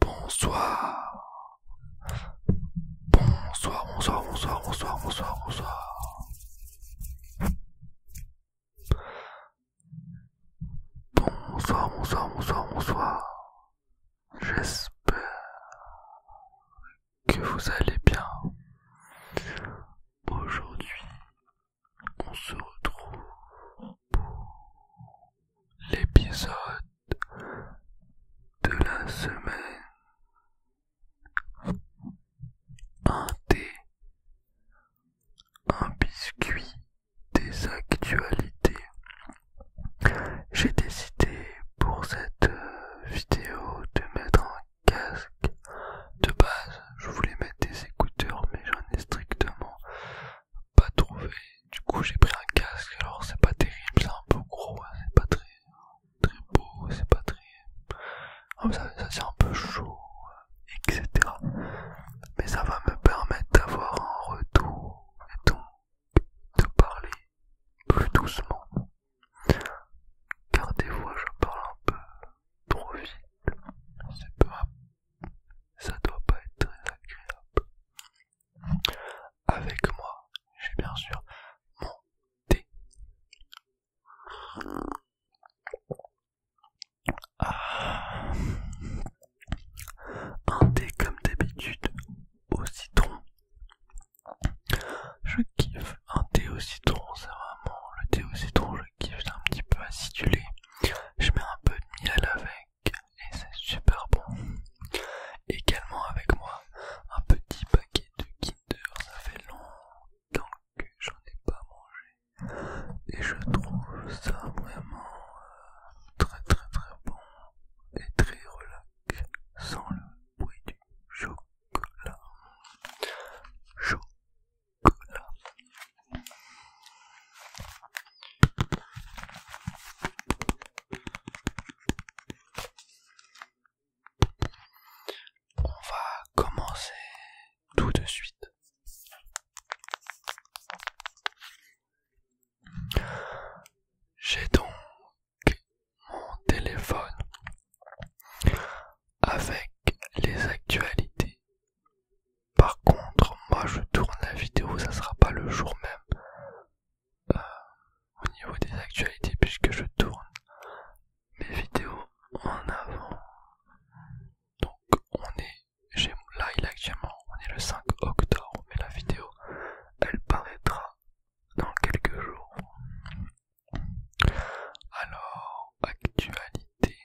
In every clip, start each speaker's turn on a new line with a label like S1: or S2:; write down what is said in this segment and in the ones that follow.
S1: Bonsoir. Bonsoir, bonsoir, bonsoir, bonsoir, bonsoir, bonsoir. Bonsoir, bonsoir, bonsoir, bonsoir. J'espère que vous allez bien. Aujourd'hui, on se retrouve pour l'épisode de la semaine. Un thé, un biscuit des actualités. J'ai décidé pour cette euh, vidéo de mettre un casque. De base, je voulais mettre des écouteurs, mais j'en ai strictement pas trouvé. Du coup, j'ai pris un casque. Alors, c'est pas terrible, c'est un peu gros, hein. c'est pas très, très beau, c'est pas très. ça, c'est un peu chaud, etc. Mais ça va me permettre d'avoir un retour et donc de parler plus doucement. Car des fois, je parle un peu trop vite. C'est peu, ça doit pas être très agréable. Avec moi, j'ai bien sûr mon thé. Ah. Un thé comme d'habitude au citron. Je kiffe un thé au citron, c'est vraiment le thé au citron, je kiffe, c'est un petit peu acidulé. Je mets un peu de miel avec et c'est super bon. Également avec moi, un petit paquet de Kinder, ça fait longtemps que j'en ai pas mangé. Et je trouve ça vraiment euh, très très très bon et très relax sans le bruit du chocolat. chaud on va commencer tout de suite. J'ai donc mon téléphone avec les actualités par contre, moi je tourne la vidéo, ça sera pas le jour même euh, au niveau des actualités puisque je tourne mes vidéos en avant. Donc on est là il est actuellement on est le 5 octobre mais la vidéo elle paraîtra dans quelques jours. Alors actualité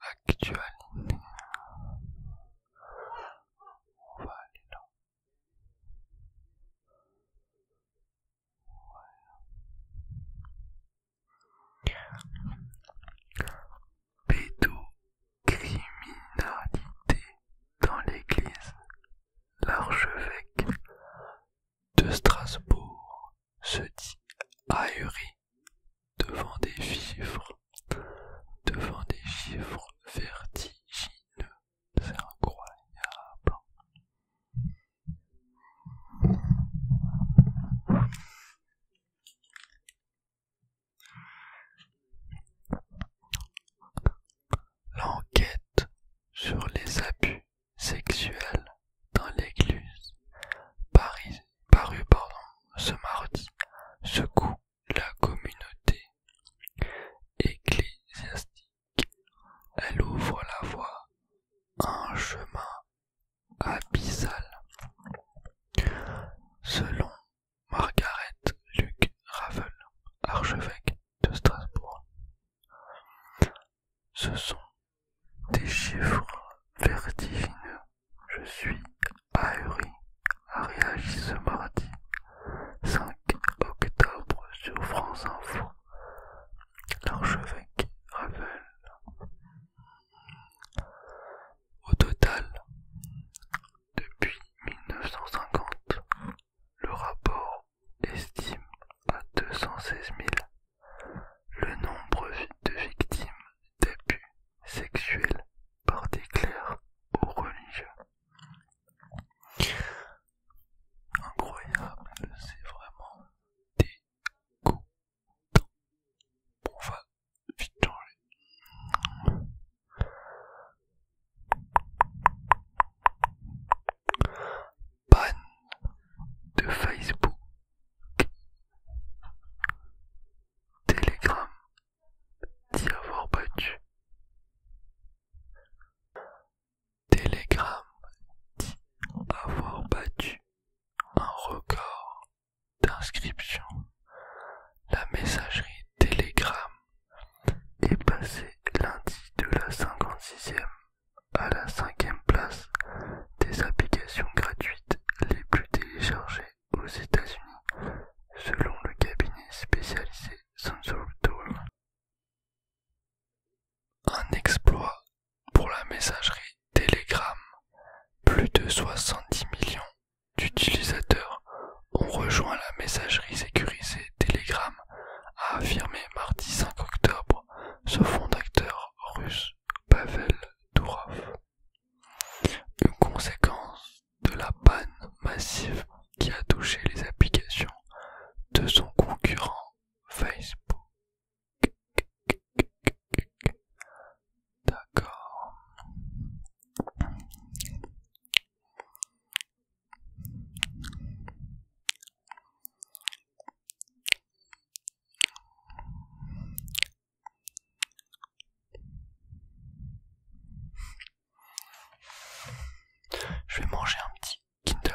S1: Actualité. On va aller là. Voilà. Criminalité dans l'église. L'archevêque de Strasbourg se dit ahuri devant des chiffres, devant des chiffres vertigineux. C'est incroyable. L'enquête sur les abus sexuelle dans l'église Paris, paru pardon, ce mardi secoue la communauté ecclésiastique. Elle ouvre la voie un chemin abyssal. Selon Margaret Luc Ravel, archevêque de Strasbourg, ce sont des chiffres vertigineux. Je suis ahuri, a réagi ce mardi 5 octobre sur France Info l'archevêque Ravel. Au total, depuis 1950, le rapport estime à 216 000 le nombre de victimes d'abus sexuels par des clercs ou religieux. Incroyable, c'est vraiment dégoûtant. On va vite changer panne de Facebook, Telegram dit avoir battu. Telegram dit avoir battu un record d'inscription. La messagerie Telegram est passée lundi de la 56e à la cinquième place des applications gratuites les plus téléchargées aux États-Unis, selon le cabinet spécialisé Sensor Tool. Un exploit pour la messagerie Telegram. Plus de 70 millions d'utilisateurs ont rejoint la messagerie sécurisée Telegram, a affirmé mardi 5 octobre ce sauf d'acteur russe Pavel Durov. Une conséquence de la banne massive qui a touché les applications de son concurrent Facebook. D'accord. Je vais manger un petit Kinder.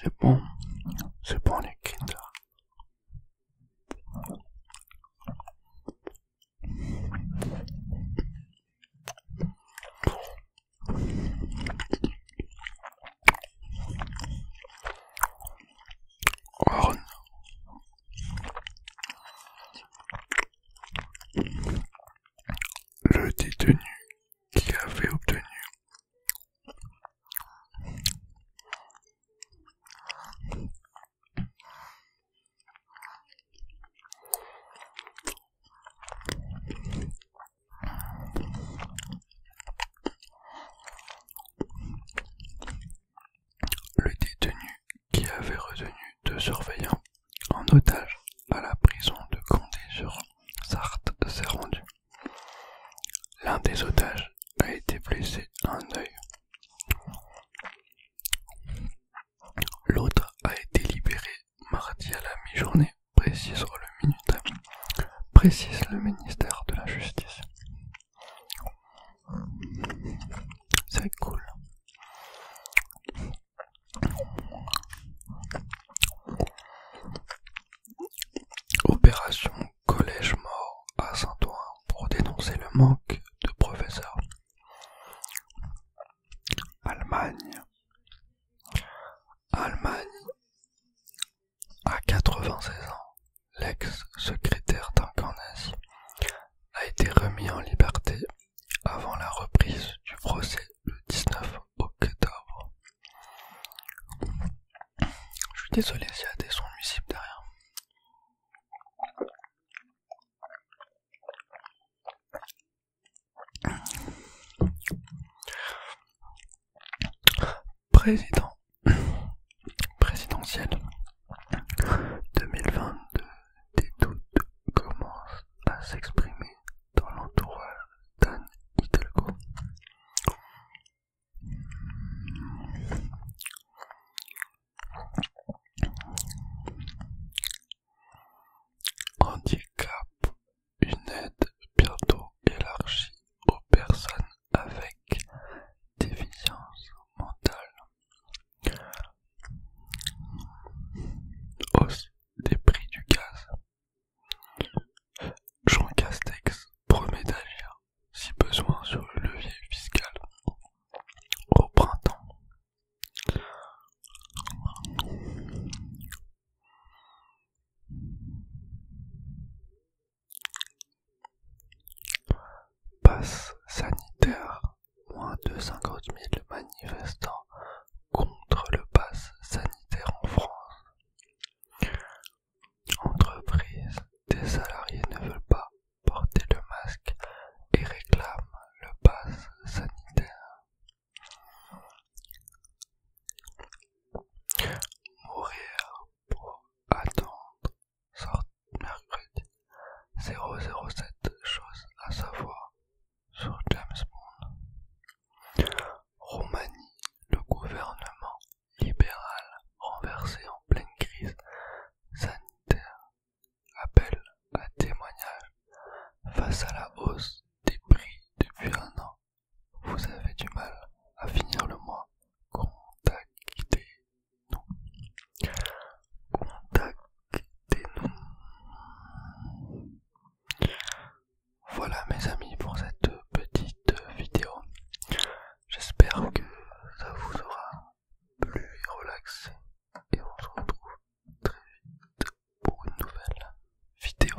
S1: C'est bon, c'est bon les le détenu qui avait obtenu le détenu qui avait retenu deux surveillants en otage à la prison de Condé-sur-Sarthe s'est rendu. L'un des otages a été blessé à un œil. L'autre a été libéré mardi à la mi-journée, le, précise le ministère de la Justice. C'est cool. Opération Collège Mort à Saint-Ouen pour dénoncer le manque de professeurs. Allemagne. Allemagne. À 96 ans, l'ex-secrétaire d'un a été remis en liberté avant la reprise du procès le 19 octobre. Je suis désolé s'il y a des sons nuisibles derrière. Président présidentielle 2022, des doutes commencent à s'exprimer dans l'entourage d'Anne Hidalgo. Handicap, une aide bientôt élargie aux personnes avec déficience mentale. Hausse des prix du gaz. Jean Castex promet d'agir si besoin sur le levier fiscal au printemps. Pass sanitaire. Moins de 50 000 manifestants contre le pass sanitaire en France. Entreprises, des salariés ne veulent pas porter le masque et réclament le pass sanitaire. Mourir pour attendre sorte mercredi 007 Choses à savoir sur James Bond. Roumanie, le gouvernement libéral renversé en pleine crise sanitaire, appelle à témoignage face à la hausse des prix depuis un an. Vous avez du mal à finir le mois. quitté. Non. Contactez-nous. Voilà mes amis pour cette petite vidéo. J'espère que ça vous aura plu et relaxé. Et on se retrouve très vite pour une nouvelle vidéo.